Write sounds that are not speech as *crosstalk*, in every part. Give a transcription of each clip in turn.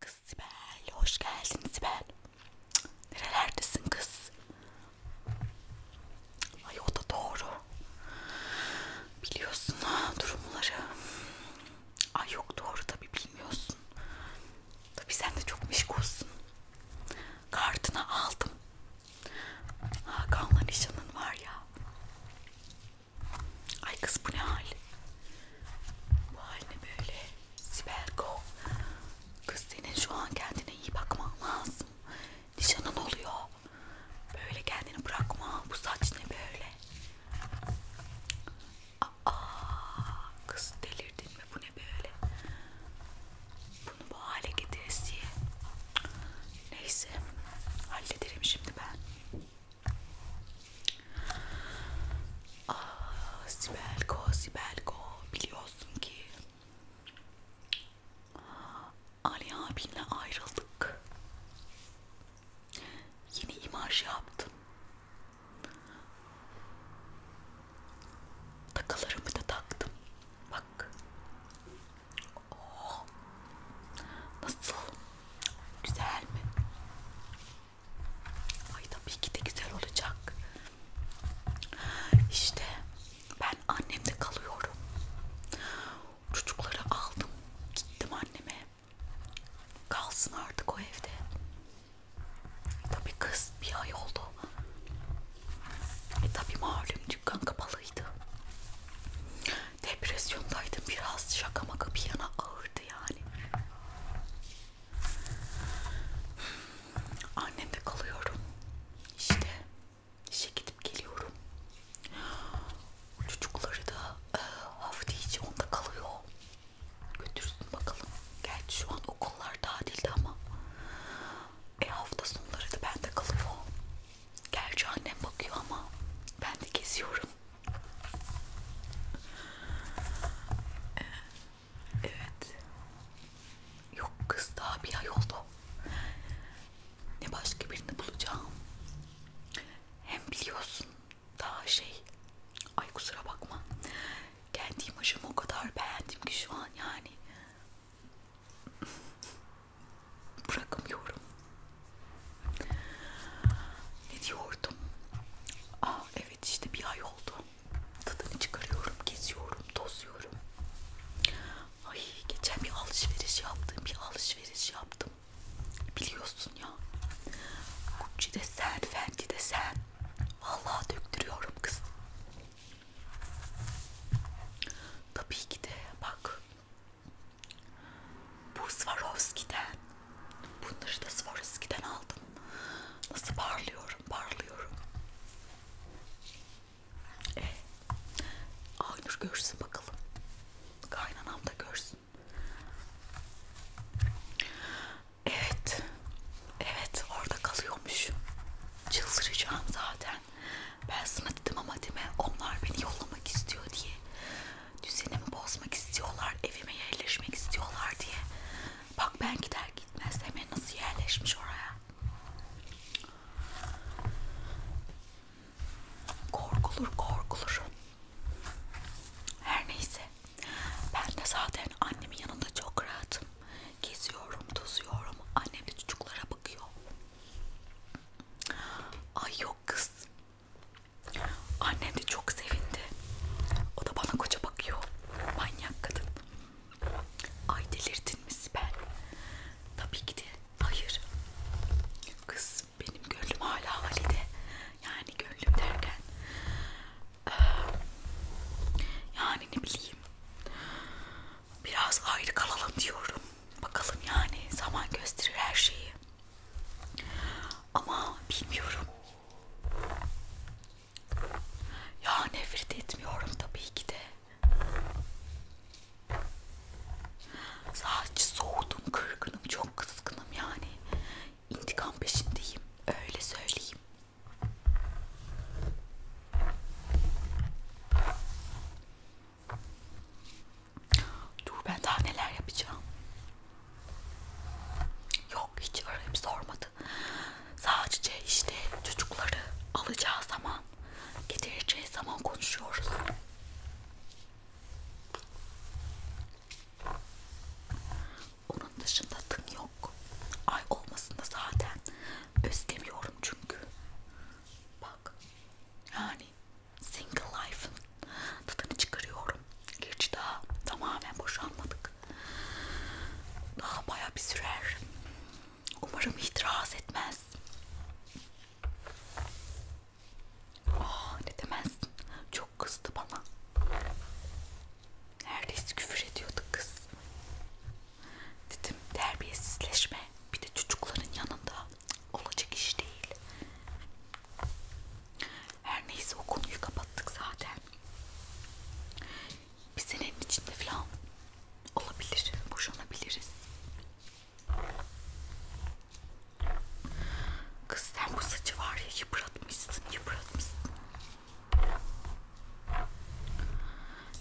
Kız Sibel, hoş geldin Sibel. Cık, nerelerdesin kız? Ay o da doğru. Biliyorsun durumları. Ay yok doğru tabi bilmiyorsun. Tabi sen de çok meşgulsun. Kartını aldım. Hakan'la nişanın var ya. Ay kız bu ne hal? Bu hal ne böyle? Sibelko. Kız senin şu an kendine iyi bakman lazım. Nişanın oluyor. Böyle kendini bırakma. Bu saç ne böyle? Aa, kız delirdin mi? Bu ne böyle? Bunu bu hale getiririz diye. Neyse. Hallederim şimdi ben. Aa, ah, Sibelko, Sibelko. Biliyorsun ki Ali abinle ayrıldık. Yeni imaj yaptım. Takılarımı da taktım. Bak. Oh. Nasıl? Güzel mi? Ay tabii ki de güzel olacak. İşte ben annemde kalıyorum. Çocukları aldım. Gittim anneme. Kalsın artık o evde. Tabii kız bir ay oldu. E tabi malum dükkan kapalıydı. Depresyondaydım biraz şaka maka bir yana ağırdı yani. Annemde kalıyorum. İşte işe gidip geliyorum. Çocukları da e, hafta içi onda kalıyor. Götürsün bakalım. Gerçi şu an okullar tatilde ama e hafta sonları da bende kalıyor. Gerçi annem bakıyor ama ben de geziyorum. Ee, evet. Yok kız daha bir ay oldu. Ne başka birini bulacağım. Hem biliyorsun daha şey. Ay kusura bakma. Kendi imajımı o kadar beğendim ki şu an yani bırakamıyorum. Ne diyordum? Aa, ah, evet işte bir ay oldu. Tadını çıkarıyorum, geziyorum, tozuyorum. Ay geçen bir alışveriş yaptım, bir alışveriş yaptım. Biliyorsun ya. Gucci de sen, Fendi de sen. Vallahi döktürüyorum kız. Tabii ki de bak bu Swarovski'den. Bunları da Swarovski'den aldım. Nasıl parlıyorum, parlıyorum. E, ee, Aynur görsün bakalım. Kaynanam da görsün. Evet. Evet orada kalıyormuş. Çıldıracağım zaten. Ben sana dedim ama değil mi? Onlar beni yollamak istiyor diye. Düzenimi bozmak istiyorlar, evime yerleşmek istiyorlar diye. Bak ben gider gitmez hemen nasıl yerleşmiş oraya. Korkulur korkulur. Her neyse. Ben de zaten annemin yanında çok rahatım. Geziyorum, tozuyorum. Annem de çocuklara bakıyor. Ay yok kız. Annem de çok sevindi. O da bana koca bakıyor. Manyak kadın. Ay delirdin mi Sibel? Tabii ki de. Hayır. Kız benim gönlüm hala Halide. Yani gönlüm derken. Ee, yani ne bileyim biraz ayrı kalalım diyorum. Bakalım yani zaman gösterir her şeyi. Ama bilmiyorum. Ya nefret etmiyorum tabii ki de. Sadece soğudum, kırgınım, çok kızgınım yani. İntikam peşindeyim, öyle söyleyeyim. Dur ben daha neler yapacağım. Yok hiç arayıp sormadı. Sadece işte çocukları alacağı zaman, getireceği zaman konuşuyoruz. Onun dışında tın yok. Ay olmasın da zaten. Özlemiyorum çünkü. Bak. Yani single life'ın tadını çıkarıyorum. Gerçi daha tamamen boşanmadık. Daha baya bir sürer. Umarım itiraz etmez. Ah ne demezsin. Çok kızdı bana. Neredeyse küfür ediyordu kız. Dedim terbiyesizleşme. Bir de çocukların yanında olacak iş değil. Her neyse o konuyu kapattık zaten. Bir senenin içinde falan olabilir, boşanabiliriz. Kız sen bu saçı var ya yıpratmışsın, yıpratmışsın.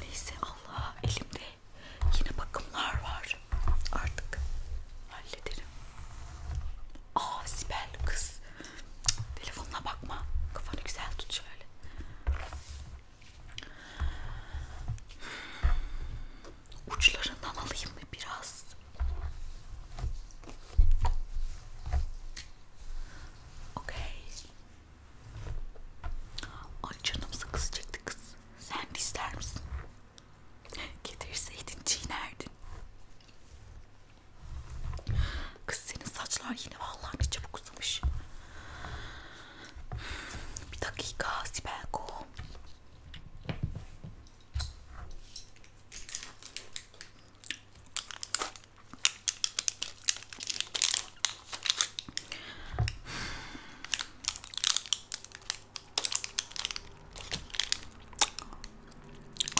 Neyse Allah elimde yine bakımlar var. Artık hallederim. Aa Sibel kız. Cık, telefonuna bakma. Kafanı güzel tut şöyle. Uçlarından alayım mı biraz? Okay. Ay canım sıkı çekti kız. Sen de ister misin? Getirseydin çiğnerdin. Kız senin saçlar yine vallahi ne çabuk uzamış. Bir dakika Sibelko.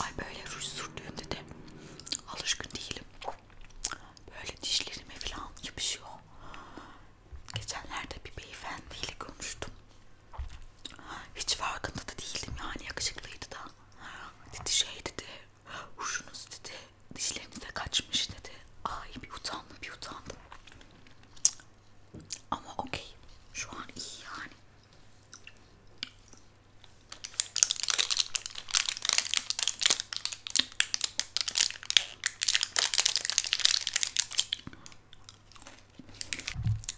Ay böyle ruj sürdüğümde de alışkın değilim. Böyle dişlerime falan yapışıyor. Geçenlerde bir beyefendiyle konuştum. Hiç farkında da değildim yani yakışıklıydı da. Dedi şey dedi, rujunuz dedi, dişlerinize kaçmış dedi. Ay bir utandım bir utandım. Ama okey. Şu an iyi yani.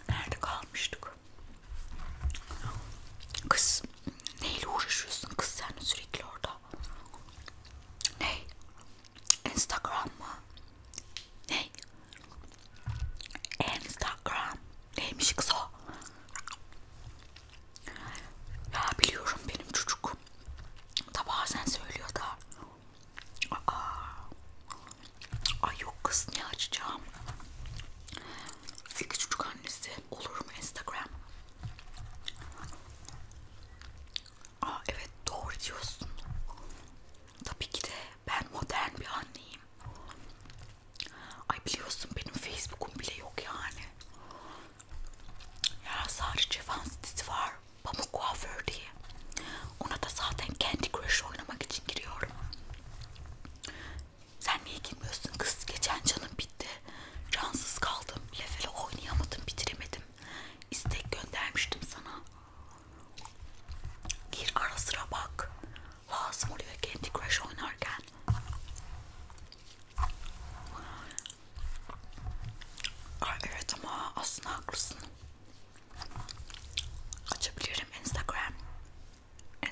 Nerede kalmıştık? Kız neyle uğraşıyorsun kız sen sürekli orada? Ney? Instagram mı? Ne? Instagram. Neymiş kız o? Ya biliyorum benim çocuk. Da bazen söylüyor da. Aa. Ay yok kız ne açacağım? Fikri çocuk annesi olur mu Instagram? Aa evet doğru diyorsun. Tabii ki de ben modern bir anneyim. Ay biliyorsun benim Facebook'um bile yok yani. Ya Sarı Cevan sitesi var. Pamuk kuaför diye. Ona da zaten Candy Crush oynamak için giriyorum. Sen niye girmiyorsun kız? Geçen canım bitti. Cansız kaldım. Level'e oynayamadım, bitiremedim istek göndermiştim sana. Gir ara sıra bak. Lazım oluyor Candy Crush oynarken. Ay evet ama aslında haklısın. Açabilirim Instagram.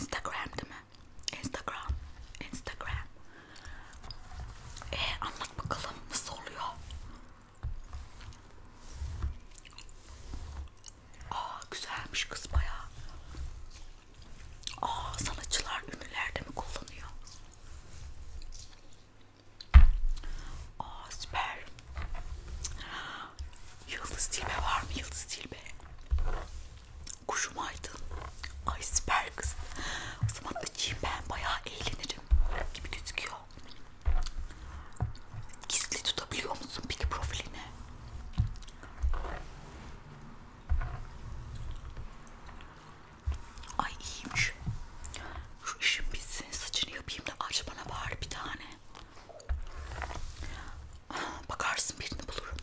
Instagram değil mi? Instagram. Instagram. Ee anlat bakalım nasıl oluyor? Aa güzelmiş kız bayağı. Aa sanatçılar ünlülerde mi kullanıyor? Aa süper. Yıldız Tilbe var mı Yıldız Tilbe? Kuşum aydın. Ay süper kız. O zaman açayım ben bayağı eğlenirim gibi gözüküyor. Gizli tutabiliyor musun peki profilini? Ay iyiymiş. Şu işim bitsin saçını yapayım da aç bana bari bir tane. Bakarsın birini bulurum.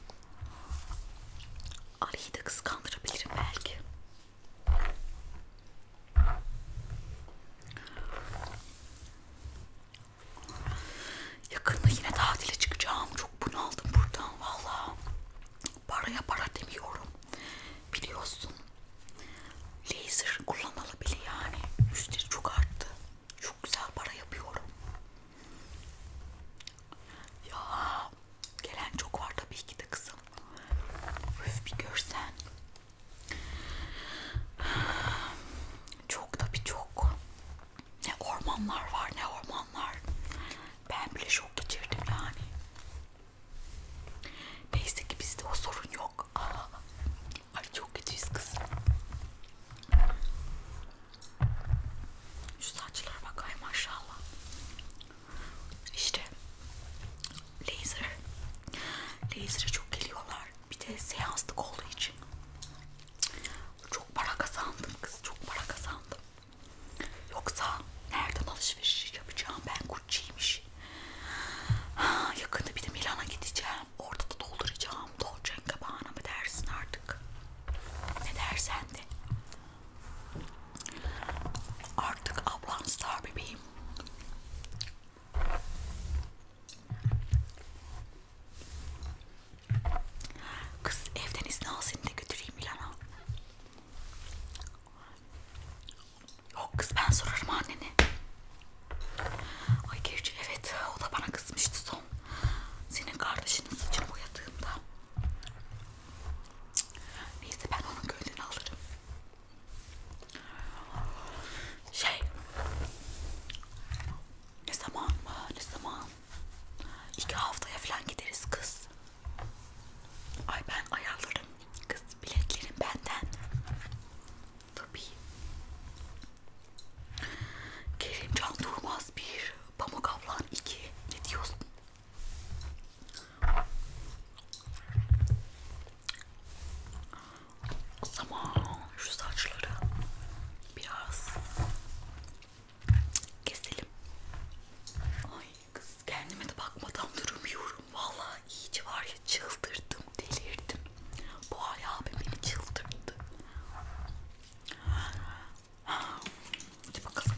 Ali'yi de kıskandırabilirim belki. Yakında yine tatile çıkacağım. Çok bunaldım buradan valla. Paraya para demiyorum. Biliyorsun. Laser kullanmalı bile yani. Müşteri çok arttı. Çok güzel para yapıyorum. Ya gelen çok var tabii ki de kızım. Üf bir görsen. Çok tabi çok. Ne ormanlar var ne ormanlar. Ben bile şok geçirdim yani. Neyse ki bizde o sorun yok. Aa, *laughs* ay çok kötüyüz kız. Şu saçlara bakayım maşallah. İşte laser. Laser'e çok geliyorlar. Bir de seanslık olduğu için. Çok para kazandım kız. Çok para kazandım. Yoksa nereden alışveriş yapacağım ben Gucci'ymiş. Yakında bir de Milan'a gideceğim. Orada da dolduracağım. Dolce Gabbana mı dersin artık? Ne dersen de. Artık ablan star bebeğim Kız evden izin al seni de götüreyim Milan'a. Yok kız ben sorarım annene. Ay gerçi evet o da bana kızmıştı son. Senin kardeşinin saçını boyadığımda. Neyse ben onun gönlünü alırım. Şey ne zaman mı? Ne zaman? İki haftaya falan gideriz kız. Ay ben ayarlarım. Kız biletlerim benden. Tabii. Kerimcan Durmaz bir, Pamuk Ablan iki. Ne diyorsun? O zaman şu saçları biraz keselim. Ay kız kendime de bakmadan duramıyorum. Vallahi iyice var ya çıldırdım, delirdim. Bu Ali abi beni çıldırdı. Hadi bakalım.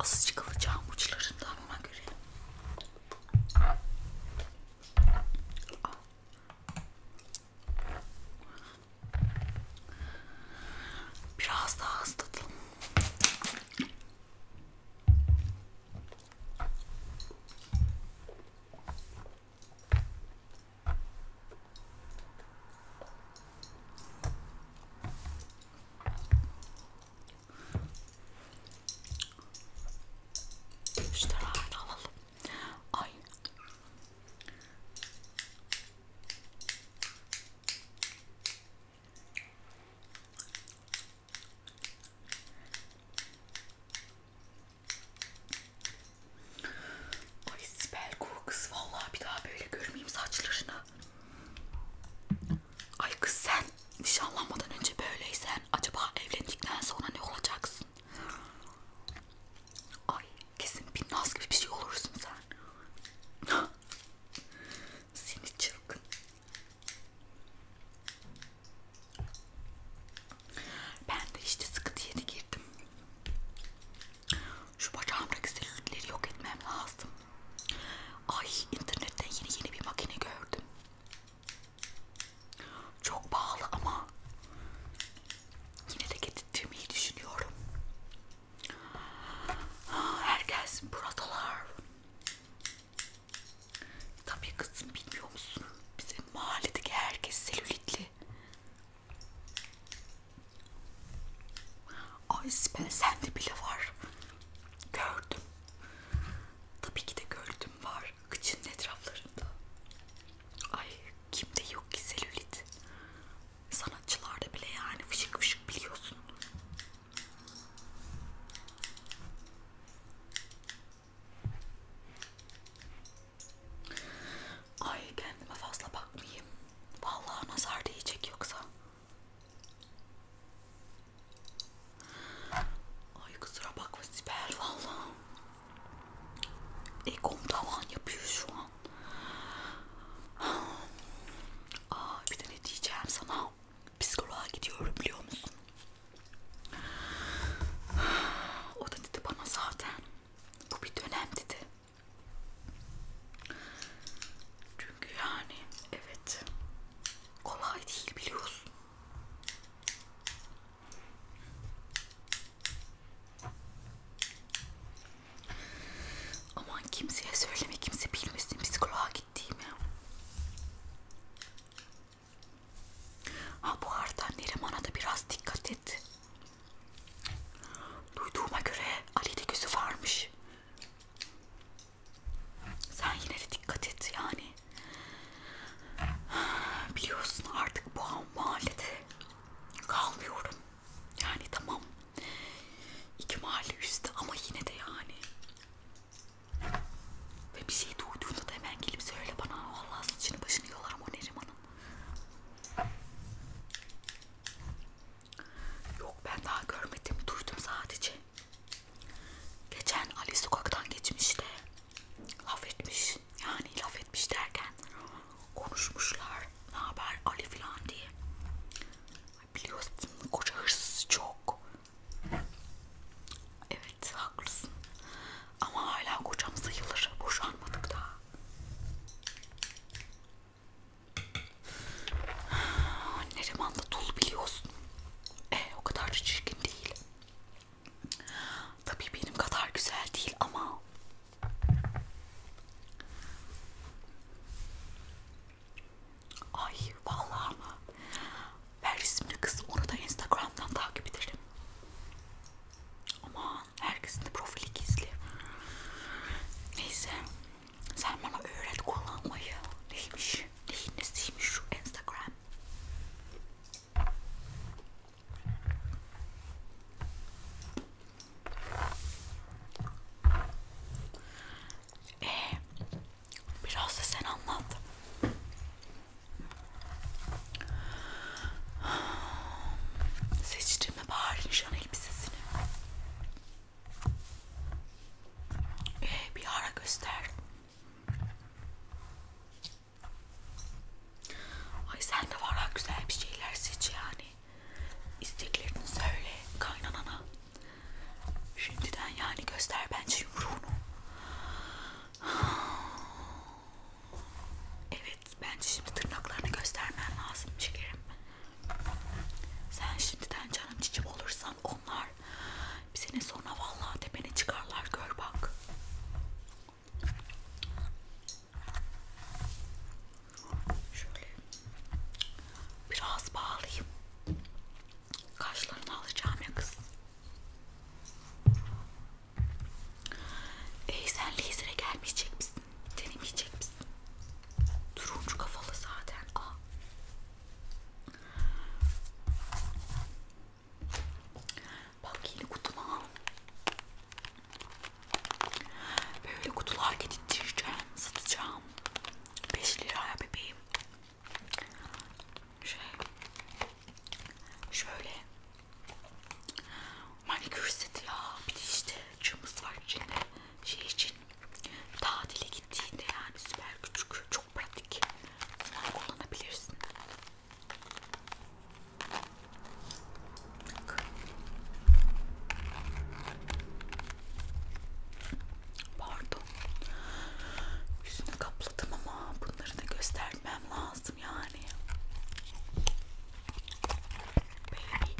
Azıcık alacağım uçlarından ona göre. Aa. Biraz daha hızlatalım. İşte hala alalım. Ay. Ay Sibel kız vallahi bir daha böyle görmeyeyim saçlarını. Ay kız sen nişanlanmadan önce böyleysen acaba evlendikten sonra ne olacaksın? Ay kesin bir naz gibi bir şey olursun sen. *laughs* Seni çılgın. Ben de işte sıkı diyete girdim. Şu bacağımdaki selülitleri yok etmem lazım. Ay internetten yeni yeni bir makine gördüm. Çok pahalı ama yine de getirtmeyi düşünüyorum. Herkes buradalar. Tabii kızım bilmiyor musun? Bizim mahalledeki herkes selülitli. Ay Sibel sende bile var. Gördüm. Tabii ki de gördüm var. Kıçının etraflarında. Ay kimde yok ki selülit. Sanatçılarda bile yani fışık fışık biliyorsun. Ay kendime fazla bakmayayım. Vallahi nazar değecek yoksa. Ay kusura bakma Sibel vallahi. Egom tavan yapıyor şu an. Aa, bir de ne diyeceğim sana? Psikoloğa gidiyorum biliyor musun? O da dedi bana zaten bu bir dönem dedi. Çünkü yani evet kolay değil biliyorsun. Aman kimseye söyleme kimse bilmesin psikoloğa gittiğimi. Ha bu arada Neriman'a da biraz dikkat et. Duyduğuma göre Ali'de gözü varmış. Sen yine de dikkat et yani. Biliyorsun artık bu mahallede kalmıyorum. Yani tamam iki mahalle üstte ama yine de yani ve bir şey duyduğunda da hemen gelip söyle bana. Allah saçını başını yolarım o Neriman'ın. Yok ben daha görmedim. Duydum sadece. Geçen Ali sokaktan geçmişti. Laf etmiş. Yani laf etmiş derken konuşmuşlar. Ne haber Ali falan diye. Biliyorsun koca hırsız çok. Evet haklısın. Ama hala kocam sayılır. Boşanmadık daha. Neriman da dul biliyorsun. E o kadar da çirkin değil. Tabii benim kadar güzel değil ama Ay vallahi mı? Her isimli kız onu da Instagram'dan takip ederim. Aman herkesin de profili gizli. Neyse sen bana öğret kullanmayı. Neymiş? Neyin nesiymiş şu Instagram? Ee, biraz da sen anlat. Seçtim mi bari nişan elbisesini? Ee, bir ara göster. Ay sen de var ha güzel bir şeyler seç yani. İsteklerini söyle kaynanana. Şimdiden yani göster bence yumruğunu. Evet bence şimdi tırnaklarını göstermem lazım şekerim. Sen şimdiden canım cicim olursan onlar bir sene sonra vallahi tepene çıkarlar gör bak. Şöyle biraz bağlayayım. Kaşlarını alacağım ya kız. Ey sen lazere gelmeyecek misin? Denemeyecek misin? Turuncu kafalı zaten. Aa. Bak yeni kutuma. Böyle kutular getireceğim, satacağım. 5 liraya bebeğim. Şey, şöyle manikür seti ya bir de işte cımbız var içinde şey için tatile gittiğinde yani süper küçük çok pratik sen kullanabilirsin Bak. Pardon yüzünü kapladım ama bunları da göster Serpmem lazım yani. Baby.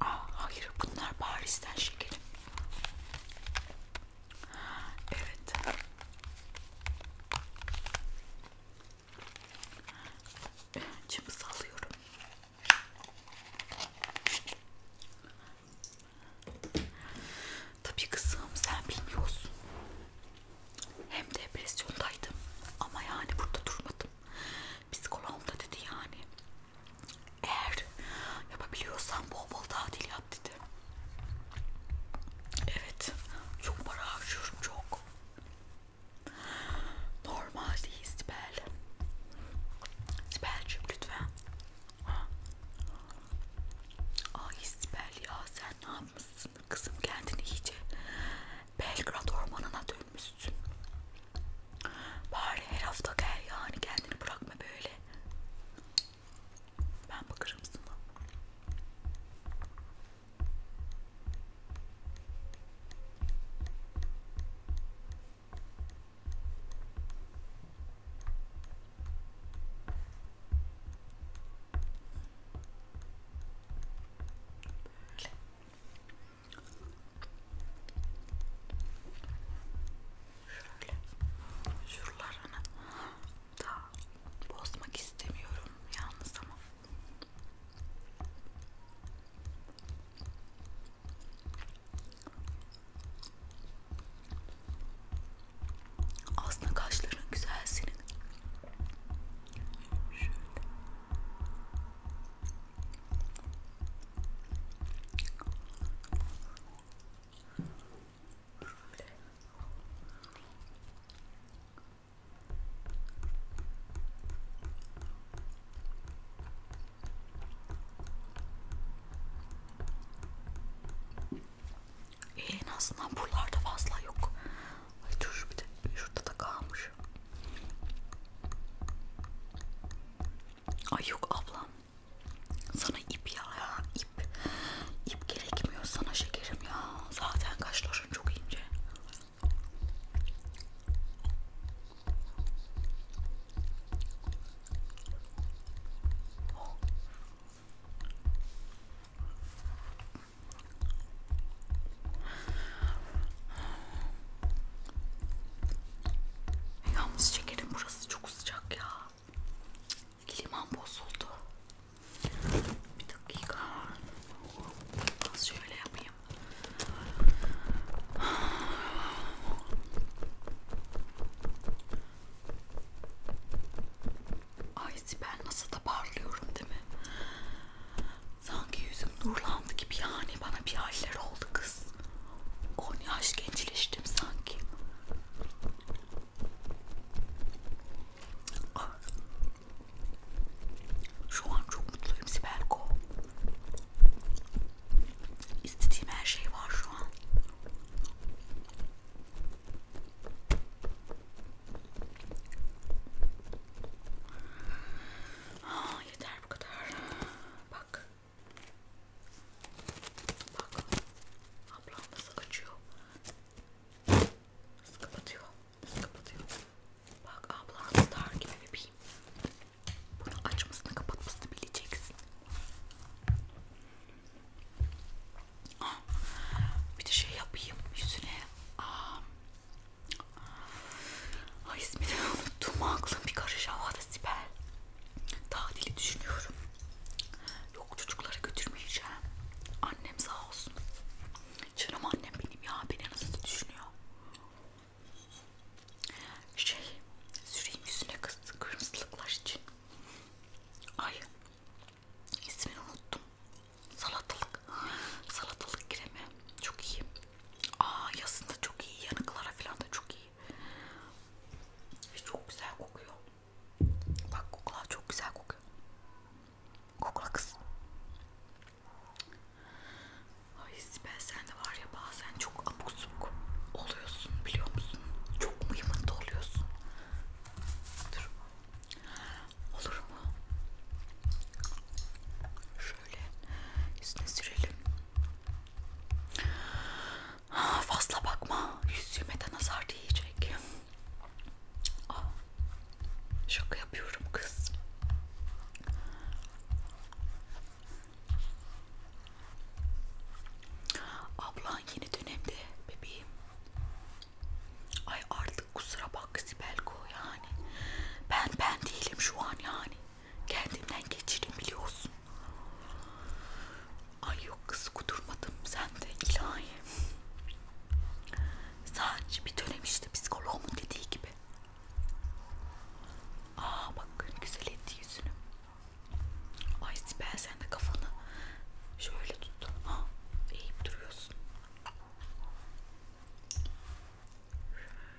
Ah hayır bunlar Paris'ten şekerim. Evet. Cımbızı alıyorum. Tabii kızım sen bilmiyorsun. Hem depresyondaydım ama yani burada durmadım. Psikoloğum da dedi yani. Eğer yapabiliyorsan bol bol tatil yap dedi. Evet. Çok para harcıyorum çok. Normal değil iyi Sibel. Sibel'cim lütfen. Ha. Ay Sibel ya sen ne yapmışsın kızım kendini iyice Belgrad ormanına dönmüşsün. Bari her hafta gel yani kendini bırakma böyle. Ben bakarım sana. Şöyle şuralarını da bozmak istemiyorum yalnız ama aslında kaşların güzel senin. Şöyle. Şöyle. Ee, en azından buralarda fazla yok. Ay dur bir de şurada da kalmış. Ay yok ablam. Sana ip ya, ya ip. İp gerekmiyor sana şekerim ya. Zaten kaşların çok ince. Yalnız şekerim burası çok sıcak ya. Liman bozuldu. Bir dakika. Şöyle yapayım. Ay ben nasıl da parlıyorum değil mi? Sanki yüzüm nurlandı gibi yani bana bir haller oldu kız. 10 yaş gençleştim sanki. Ah. Şu an çok mutluyum Sibelko. İstediğim her şey var şu an. Aa, ah, yeter bu kadar. Bak. Bak. Ablam nasıl açıyor. Nasıl kapatıyor. Nasıl kapatıyor. Bak ablam star gibi bebeğim. Bunu açmasını kapatmasını bileceksin. Ah, bir de şey yapayım yüzüne. Ah. Ay ismini unuttum. Aklım bir karış havada Sibel. Tatili düşünüyorum. Yok çocuklara götürmeyeceğim. Annem sağ olsun. Canım annem benim ya. Beni nasıl düşünüyor? Şey, süreyim yüzüne kızdı kırmızılıklar için. Ay, ismini unuttum. Salatalık, salatalık kremi çok iyi. Aa, yazında çok iyi, yanıklara falan da çok iyi. Ve çok güzel kokuyor. Bak kokla çok güzel kokuyor. Kokla kız. Ay Sibel sen de var ya bazen çok abuk subuk oluyorsun biliyor musun? Çok mu yımında oluyorsun? Dur. Olur mu? Şöyle yüzüne sürelim. Ha, ah, fazla bakma. Yüzüme de nazar değecek. Ah, şaka yapıyorum kız. Ablan yeni dönemde bebeğim. Ay artık kusura bak Sibelko yani. Ben ben değilim şu an yani. Kendimden geçirim biliyorsun. Ay yok kız kudurmadım sen de ilahi. Sadece bir dönem işte psikoloğumun dediği gibi Aa bak güzel etti yüzünü. Ay Sibel sen de kafanı şöyle tut. Ha, eğip duruyorsun.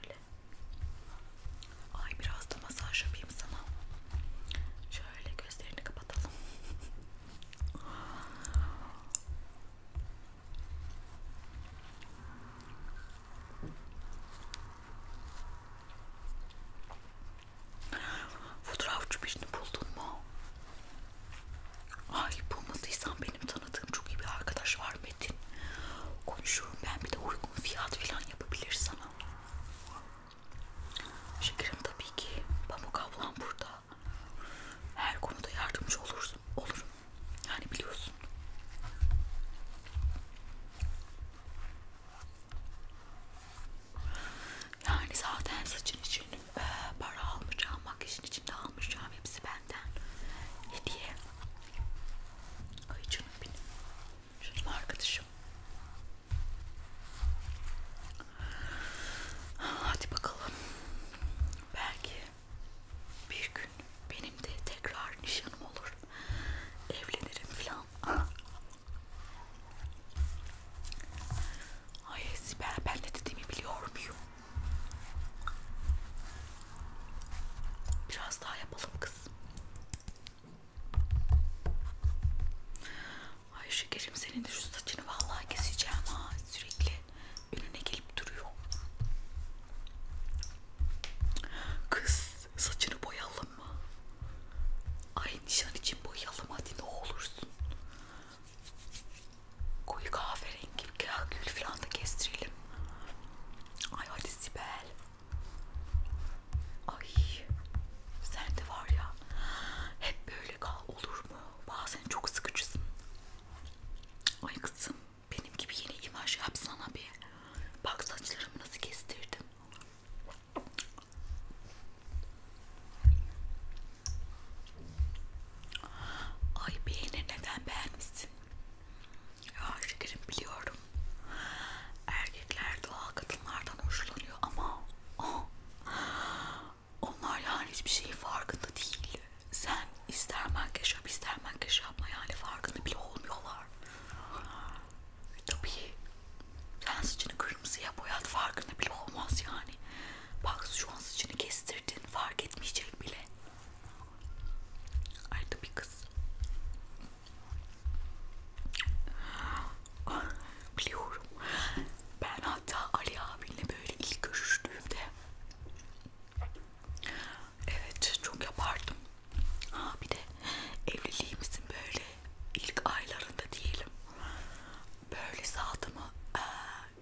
Şöyle. Ay biraz da masaj yapayım sana. Şöyle gözlerini kapatalım. Fotoğrafçı birini buldun mu? Ay bulmadıysan benim tanıdığım çok iyi bir arkadaş var Metin. Konuşurum ben bir de uygun fiyat falan yapabilir sana. Şekerim tabii ki. Pamuk ablam burada. Her konuda yardımcı olursun. Olurum. Yani biliyorsun. Yani zaten saçın için e, para almayacağım, makyajın için de almayacağım. Hepsi benden hediye. Ay canım benim. Canım arkadaşım. Hadi bakalım. Belki bir gün benim de tekrar nişanım olur evlenirim filan ay Sibel ben ne dediğimi biliyor muyum biraz daha yapalım kız ay şekerim senin de şu saçını vallahi keseceğim ha sürekli önüne gelip duruyor Kız Saçını boyalım mı? Ay nişan için boyayalım hadi ne olursun. Koyu kahverengi gül falan da kestirelim. Ay hadi Sibel. Ay sen de var ya hep böyle kal olur mu? Bazen çok sıkıcısın. Ay kızım benim gibi yeni imaj yapsana bir. Bak saçlarımı nasıl kestirdim. Ay beğeni neden beğenmişsin? Ya şekerim biliyorum. Erkekler doğal kadınlardan hoşlanıyor ama oh, onlar yani hiçbir şeyin farkında değil. Sen ister makyaj yap ister makyaj yapma yani farkında bile olmuyorlar. Tabii. Sen saçını kırmızıya boyat farkında bile olmaz yani. Bak şu an saçını kestirdin fark etmeyecek bile. Ay tabii kız. Ah, biliyorum. Ben hatta Ali abinle böyle ilk görüştüğümde Evet çok yapardım. Ha bir de evliliğimizin böyle ilk aylarında diyelim. Böyle saatimi e,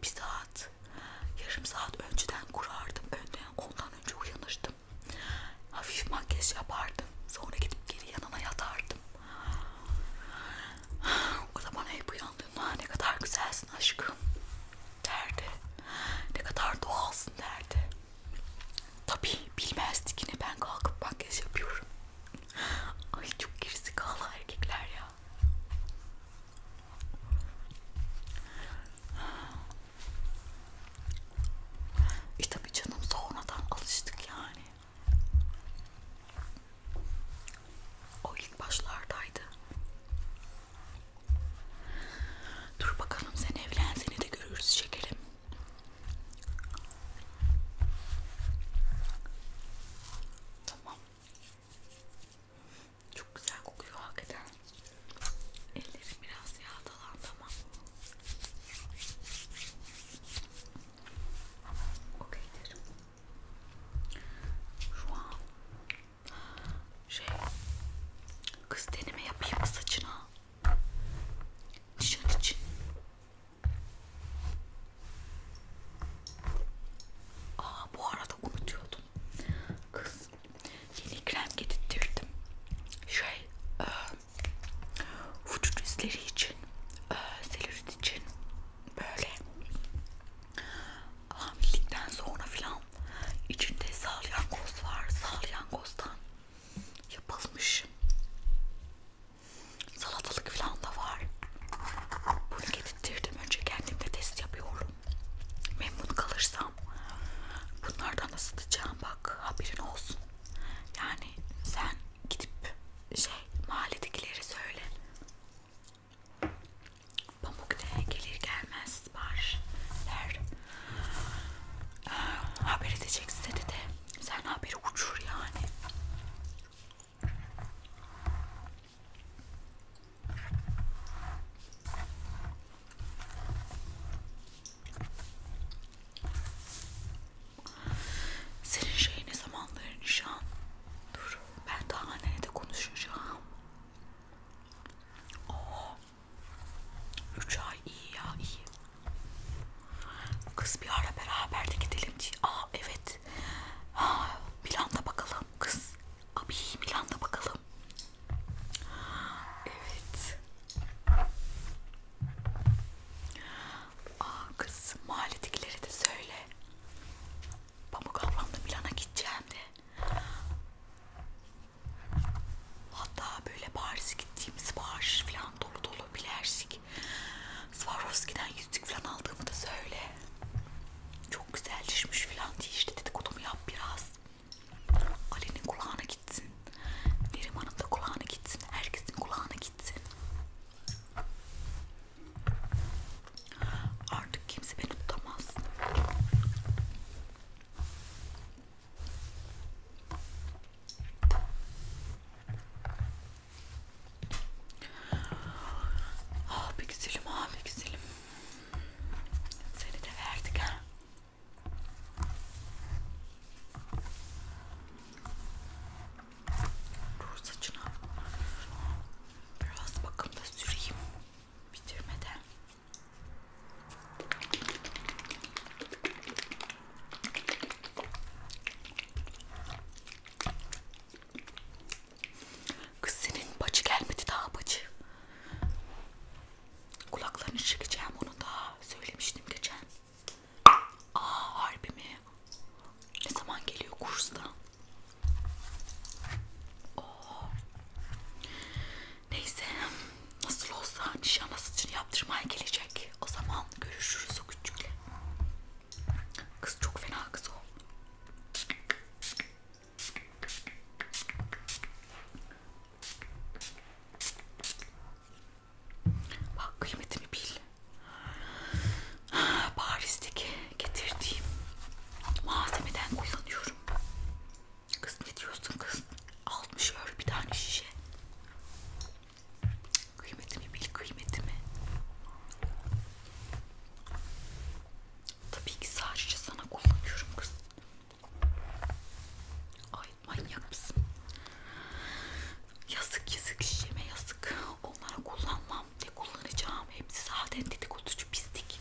bir saat, yarım saat önceden kurardım. Önden, ondan önce uyanırdım. Hafif makyaj yapardım. Sonra gidip geri yanına yatardım. O da bana hep uyandığında ne kadar güzelsin aşkım derdi. Ne kadar doğalsın derdi. Tabii bilmezdi yine ben kalkıp makyaj yapıyorum. Ay çok gerizekalı erkekler ya. E tabii canım sonradan alıştık yani. O ilk başlardaydı. Dur bakalım sen evlen seni de görürüz şekerim. Tamam. Çok güzel kokuyor hakikaten. Ellerim biraz yağdalandı ama. Okeydir. Şu an şey kız deneme yapayım mı saçına? Şunun için. Aa bu arada unutuyordum. Kız yeni krem getirttirdim. Şey e, vücut izleri için e, selülit için böyle hamilelikten sonra filan içinde salyangoz var. Salyangozdan yapılmış. Salatalık falan da var. Bunu getirttirdim önce kendimde test yapıyorum. Memnun kalırsam bunlardan ısıtacağım bak haberin olsun. Yani sen gidip şey mahalledekileri söyle. Pamuk da gelir gelmez siparişler haber edecek size de sen haberi uçur yani. Senin şey ne zamanları nişan? Dur ben daha annene de konuşacağım. Oo. Oh. 3 ay iyi ya iyi. Kız bir ara beraber de gidelim diye. Aa evet. Ha, Milan'da bakalım kız. Abi Milan'da bakalım. Evet. Aa kız mahalledekilere de söyle. Pamuk ablam da Milan'a gideceğim de. Hatta böyle Paris'e gittiğimiz sipariş falan dolu dolu bilersik. Swarovski'den yüzük falan aldığımı da söyle. Çok güzel düşmüş falan diye işte dedikodumu yap biraz. Ali'nin kulağına gitsin. Neriman'ın da kulağına gitsin. Herkesin kulağına gitsin. Artık kimse beni tutamaz. Ah be güzelim, ah be güzelim. Seni de verdik ha. Dur saçına. Biraz bakımda süreyim. Bitirmeden. Kız senin bacı gelmedi daha bacı. Kulaklarını çekeceğim onu daha söylemiştim geçen. Aa harbi mi? Ne zaman geliyor kursta? Oo. Neyse nasıl olsa nişan için yaptırmaya gelecek. O zaman görüşürüz o küçükle. Kız çok fena kız o. Bak kıymetimi bil. Paris'teki getirdiğim malzemeden kullanıyorum. Kız ne diyorsun kız? 60 euro bir tane şişe. Kıymetimi bil kıymetimi. Tabii ki sadece sana kullanıyorum kız. Ay manyak mısın? Yazık yazık şişeme yazık. Onlara kullanmam. Ne kullanacağım? Hepsi zaten dedikoducu pislik.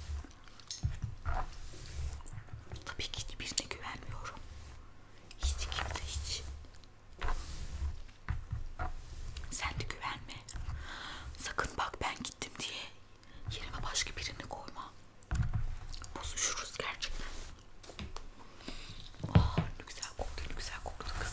Tabii ki hiçbirine güvenmiyorum. Hiç kimse hiç. Sen de güvenme. Sakın bak ben gittim diye yerime başka birini koyma. Bozuşuruz gerçekten. Ah ne güzel koktu, ne güzel koktu kız.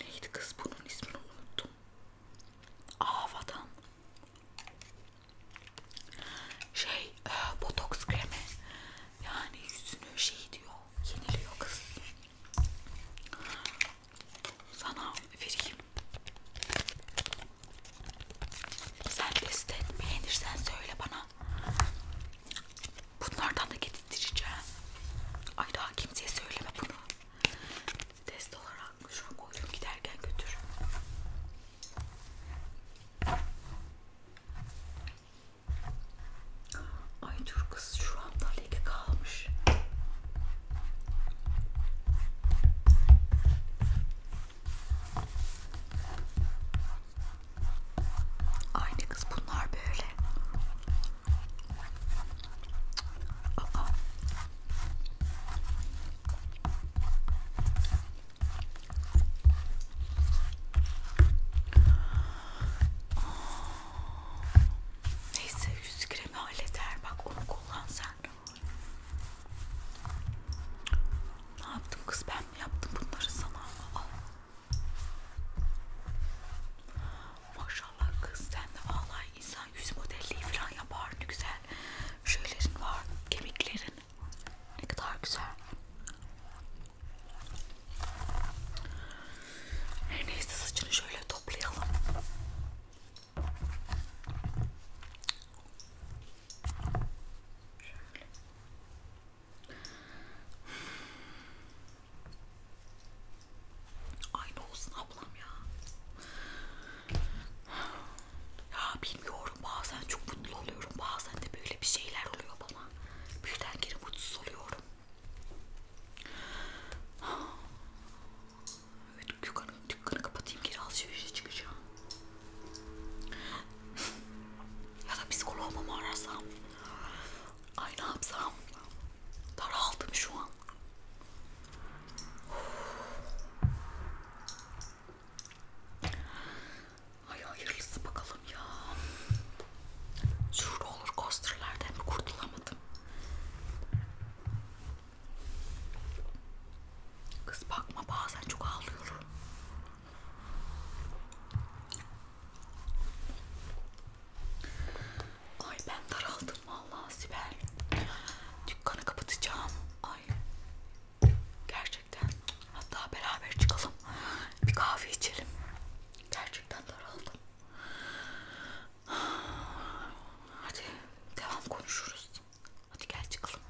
Neydi kız bunun ismini unuttum. Avadan. Şey, e, botoks kremi. Yani yüzünü şey diyor, yeniliyor kız. Sana vereyim. Sen test et, beğenirsen söyle bana. Bunlardan da getirtireceğim. Ay daha kimseye söyleme bunu. Test olarak şunu koydum giderken götür. Ay dur kız şu anda leke kalmış. Aynı kız bunlar böyle. Aa. Neyse yüz kremi halleder. Bak onu kullan sen. Ne yaptım kız ben mi yaptım bunları sana? Aa. Maşallah kız sen de vallahi insan yüz modelliği falan yapar ne güzel. Şöylerin var, kemiklerin ne kadar güzel. Her neyse saçını şöyle toplayalım. Şöyle. Aynı olsun ablam ya. Ya bilmiyorum bazen çok mutlu oluyorum. Bazen de böyle bir şeyler oluyor bana. Birden geri mutsuz oluyorum. Evet dükkanı, dükkanı kapatayım geri alışverişe çıkacağım. ya da psikoloğuma mı arasam? Ay ne yapsam? Daraldım şu an. Ay hayırlısı bakalım ya. Şurada olur coasterlerden mi kurtulamadım? Kız bakma bazen çok ağlıyorum. Ay ben daraldım vallahi Sibel. Dükkanı kapatacağım. Ay gerçekten. Hatta beraber çıkalım. Bir kahve içelim. Gerçekten daraldım. Hadi devam konuşuruz. Hadi gel çıkalım.